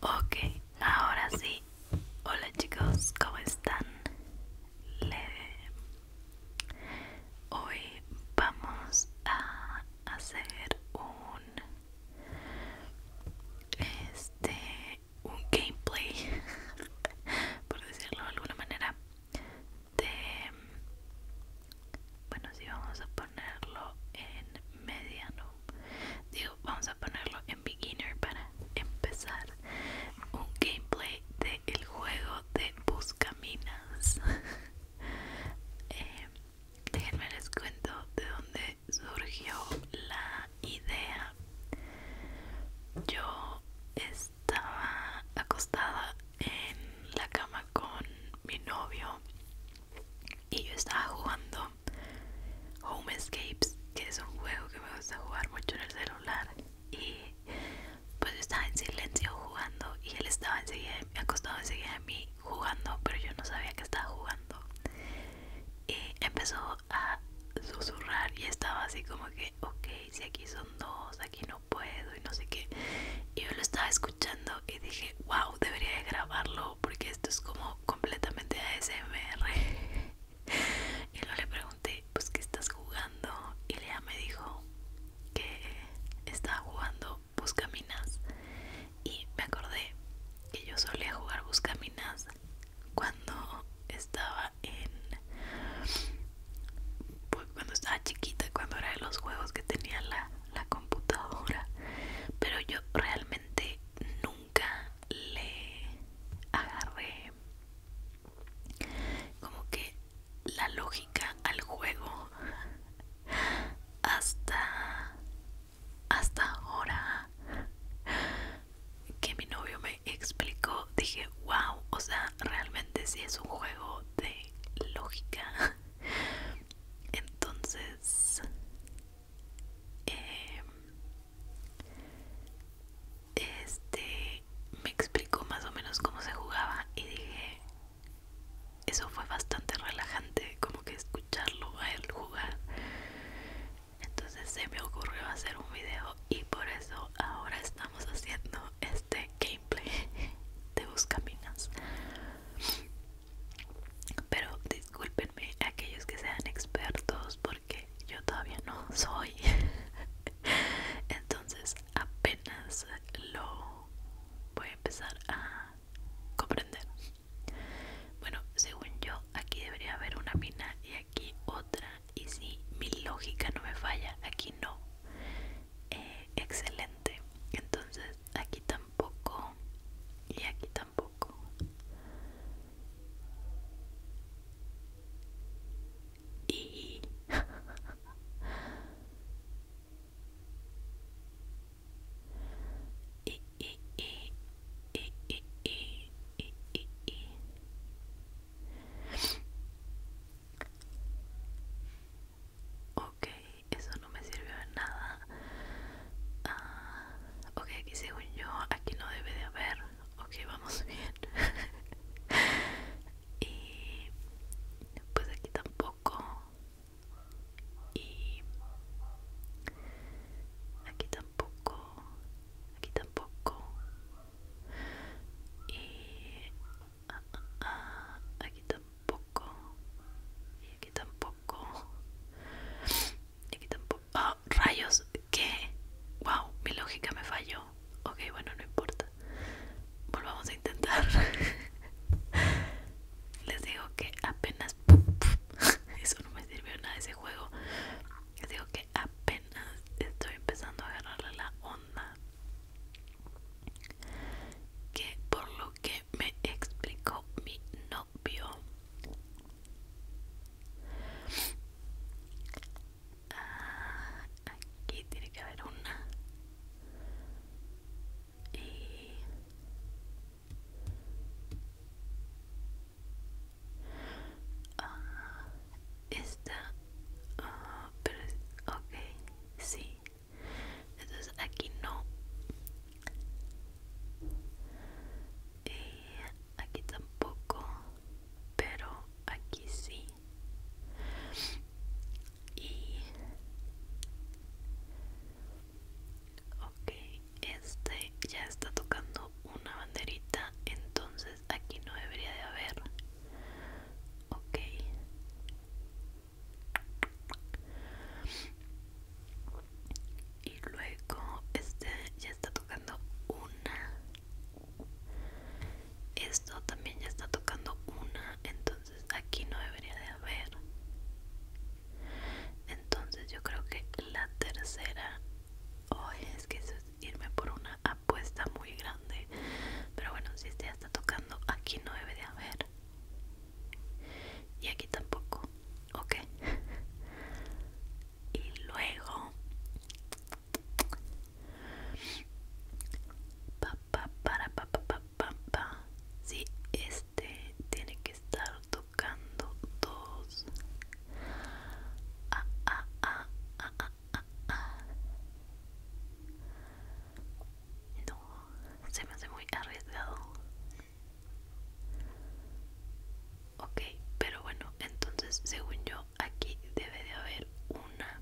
Ok, ahora sí. Hola chicos, ¿cómo están? Hoy vamos a hacer un este un gameplay por decirlo de alguna manera de bueno si vamos a ponerlo en mediano digo vamos a ponerlo en beginner para empezar un gameplay de el juego de buscaminas eh, déjenme les cuento de dónde surgió la idea yo estaba acostada en la cama con mi novio y yo estaba jugando Home Escapes, que es un juego que me gusta jugar mucho en el celular. Y pues yo estaba en silencio jugando y él estaba enseguida me enseguida de mí jugando, pero yo no sabía que estaba jugando. Y empezó a susurrar y estaba así como que, ok, si aquí son dos, aquí no puedo y no sé qué. Y yo lo estaba escuchando y dije, wow, debería de grabarlo porque esto es como completamente ASMR. Y luego le pregunté, pues, ¿qué estás jugando? Y Lea me dijo que estaba jugando Buscaminas. Y me acordé que yo solía jugar Buscaminas cuando estaba en pues, cuando estaba chiquita cuando era de los juegos que tenía la, computadora pero yo realmente nunca le agarré como que la lógica al juego hasta hasta ahora que mi novio me explicó, dije, wow, o sea, realmente si es un juego de lógica. Entonces, em, este, me explicó más o menos cómo se jugaba y dije, eso fue bastante relajante, como que escucharlo a él jugar entonces se me ocurrió hacer un video y por eso ahora estamos haciendo este gameplay de buscaminas pero discúlpenme aquellos que sean expertos porque yo todavía no soy entonces apenas lo voy a empezar a comprender bueno según yo aquí debería haber una mina y aquí otra. Y si mi lógica no me falla, aquí no. Eh, excelente. Entonces aquí tampoco. Y aquí tampoco. Y... y y, Ok, eso no me sirvió de nada. Ah, ok, aquí según yo, aquí no debe de haber. Ok, vamos bien. y pues aquí tampoco. Y aquí tampoco. Ah, ah, ah, aquí tampoco y aquí tampoco y aquí tampoco y aquí tampoco oh, rayos que wow mi lógica me falló ok bueno no importa volvamos a intentar les digo que apenas eso no me sirvió nada ese juego. Digo que apenas estoy empezando a agarrarle la onda. Que por lo que me explicó mi novio. Ah, aquí tiene que haber una. Y Ah, esta, ah, pero ok, sí. Entonces aquí no. Y eh, aquí tampoco, pero aquí sí. Y ok este ya está tocando una banderita entonces aquí no debería de haber ok y luego este ya está tocando una esto también ya está tocando una entonces aquí no debería de haber entonces yo creo que la tercera hoy es que eso es irme por una apuesta muy grande pero bueno si este ya está tocando aquí no debe de haber y aquí tampoco ok y luego pa, pa, para pa, pa, pa, pa, pa. Este, tiene que estar tocando dos ah, ah, ah, no se me hace muy arriesgado ok pero bueno entonces según yo aquí debe de haber una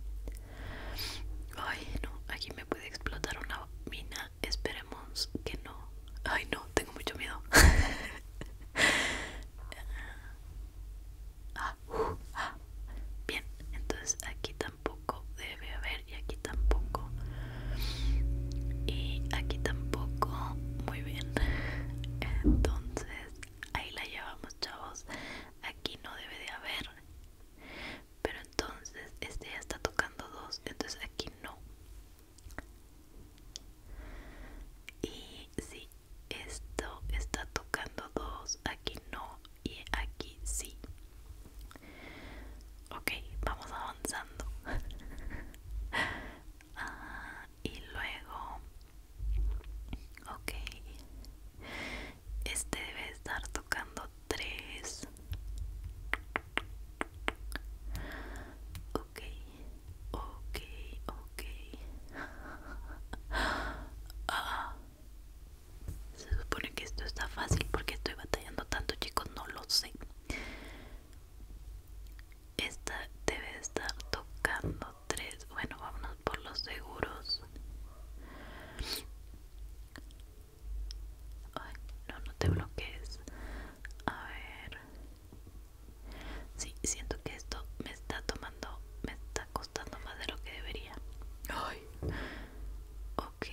ay no aquí me puede explotar una mina esperemos que no. Ay, no, tengo mucho miedo. Ah, uh, ah. Bien, entonces aquí tampoco debe haber y aquí tampoco. Y aquí tampoco. Muy bien. Entonces, ahí la llevamos, chavos. Aquí no debe de haber pero entonces este ya está tocando dos entonces aquí no y si esto está tocando dos aquí no y aquí sí ok vamos avanzando ah, y luego ok este debe estar tocando 3. Ok, ok, ok. Ah, ah. Se supone que esto está fácil porque estoy batallando tanto, chicos, no lo sé. Esta debe estar tocando 3. Bueno, vámonos por los seguros. Ay, no, no te bloquees. A ver. Sí, siento que esto me está tomando, me está costando más de lo que debería. Ay. Ok.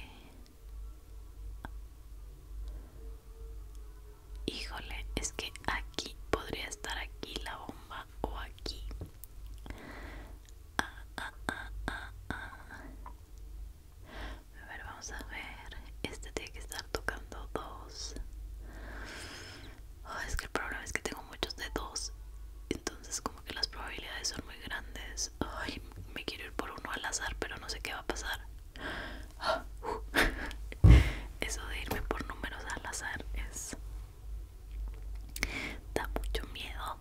Híjole, es que aquí podría estar aquí la bomba o aquí. A ver, vamos a ver. Este tiene que estar tocando dos. Oh, es que el problema es que tengo muchos de dos. Entonces como que las probabilidades son muy grandes. Ay, me quiero ir por uno al azar, pero no sé qué va a pasar. Ah, uh. Eso de irme por números al azar es da mucho miedo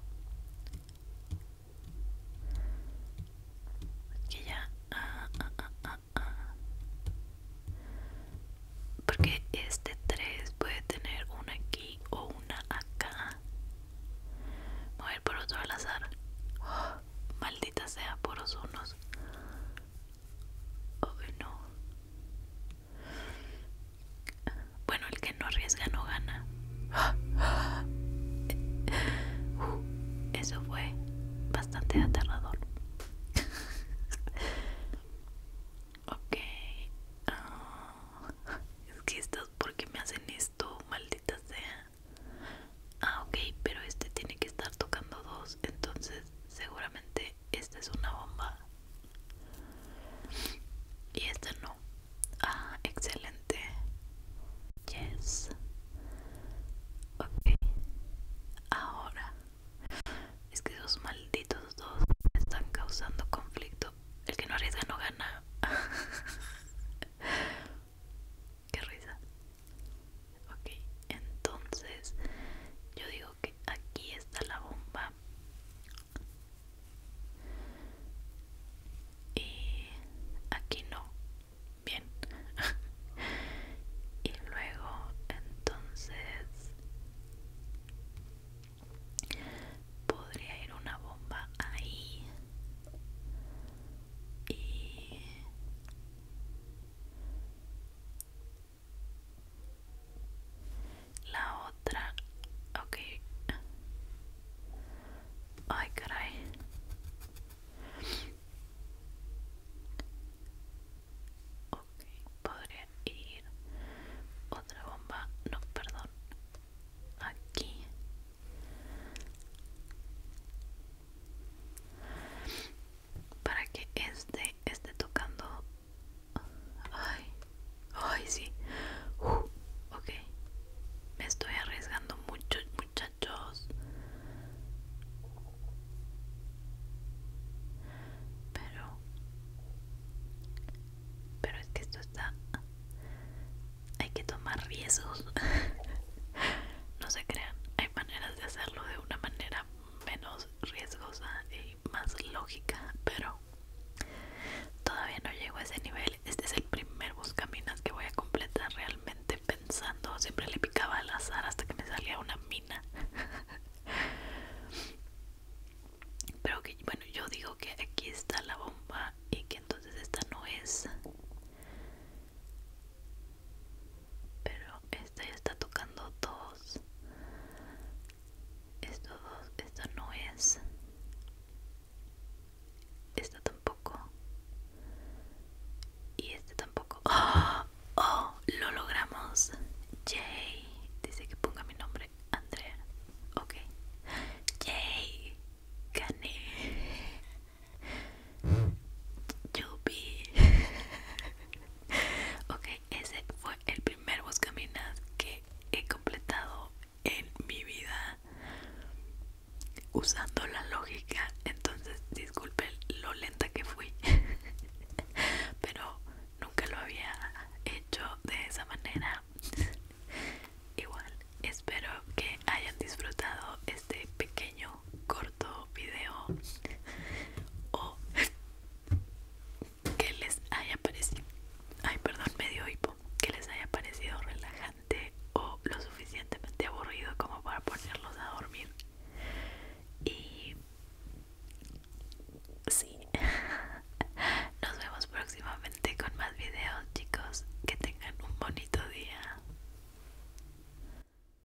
ya ah, ah, ah, porque este 3 puede tener una aquí o una acá voy a por otro al azar oh, maldita sea por los unos oh no bueno, el que no arriesga no gana. eso fue bastante aterrador. ok. Ah, es que estas, ¿por me hacen esto? Maldita sea. Ah, ok, pero este tiene que estar tocando dos. Entonces, seguramente esta es una bomba. Y esta no. Ah, excelente. Yes. Ok. Ahora. Es que esos malditos dos están causando conflicto. El que no arriesga no gana. Que risa. Ok, entonces yo digo que aquí está la bomba y aquí no bien y luego entonces podría ir una bomba ahí y la otra, ok. Ay, caray. Ok, podría ir otra bomba. No, perdón. Aquí. Para que este esté tocando Ay, ay, sí. Uh, ok, me estoy arriesgando mucho, muchachos. Pero, pero es que esto está. Hay que tomar riesgos. no se crean, hay maneras de hacerlo de una manera menos riesgosa y más lógica, pero todavía no llego a ese nivel. Este es el primer buscaminas que voy a completar realmente pensando. Siempre le picaba al azar hasta que me salía una mina. Pero que bueno, yo digo que aquí está la bomba y que entonces esta no es. Pero esta ya está tocando todo esto esto no es Esto tampoco y este tampoco ¡Oh! oh, lo logramos Jay dice que ponga mi nombre Andrea ok Jay gané Juby. ok ese fue el primer buscaminas que he completado en mi vida usando la lógica. Entonces, disculpen lo lenta que fui. Pero nunca lo había hecho de esa manera. Igual, espero que hayan disfrutado este pequeño corto video o que les haya parecido, ay perdón, medio hipo, que les haya parecido relajante o lo suficientemente aburrido como para ponerlos a dormir. Y sí, nos vemos próximamente con más videos, chicos. Que tengan un bonito día.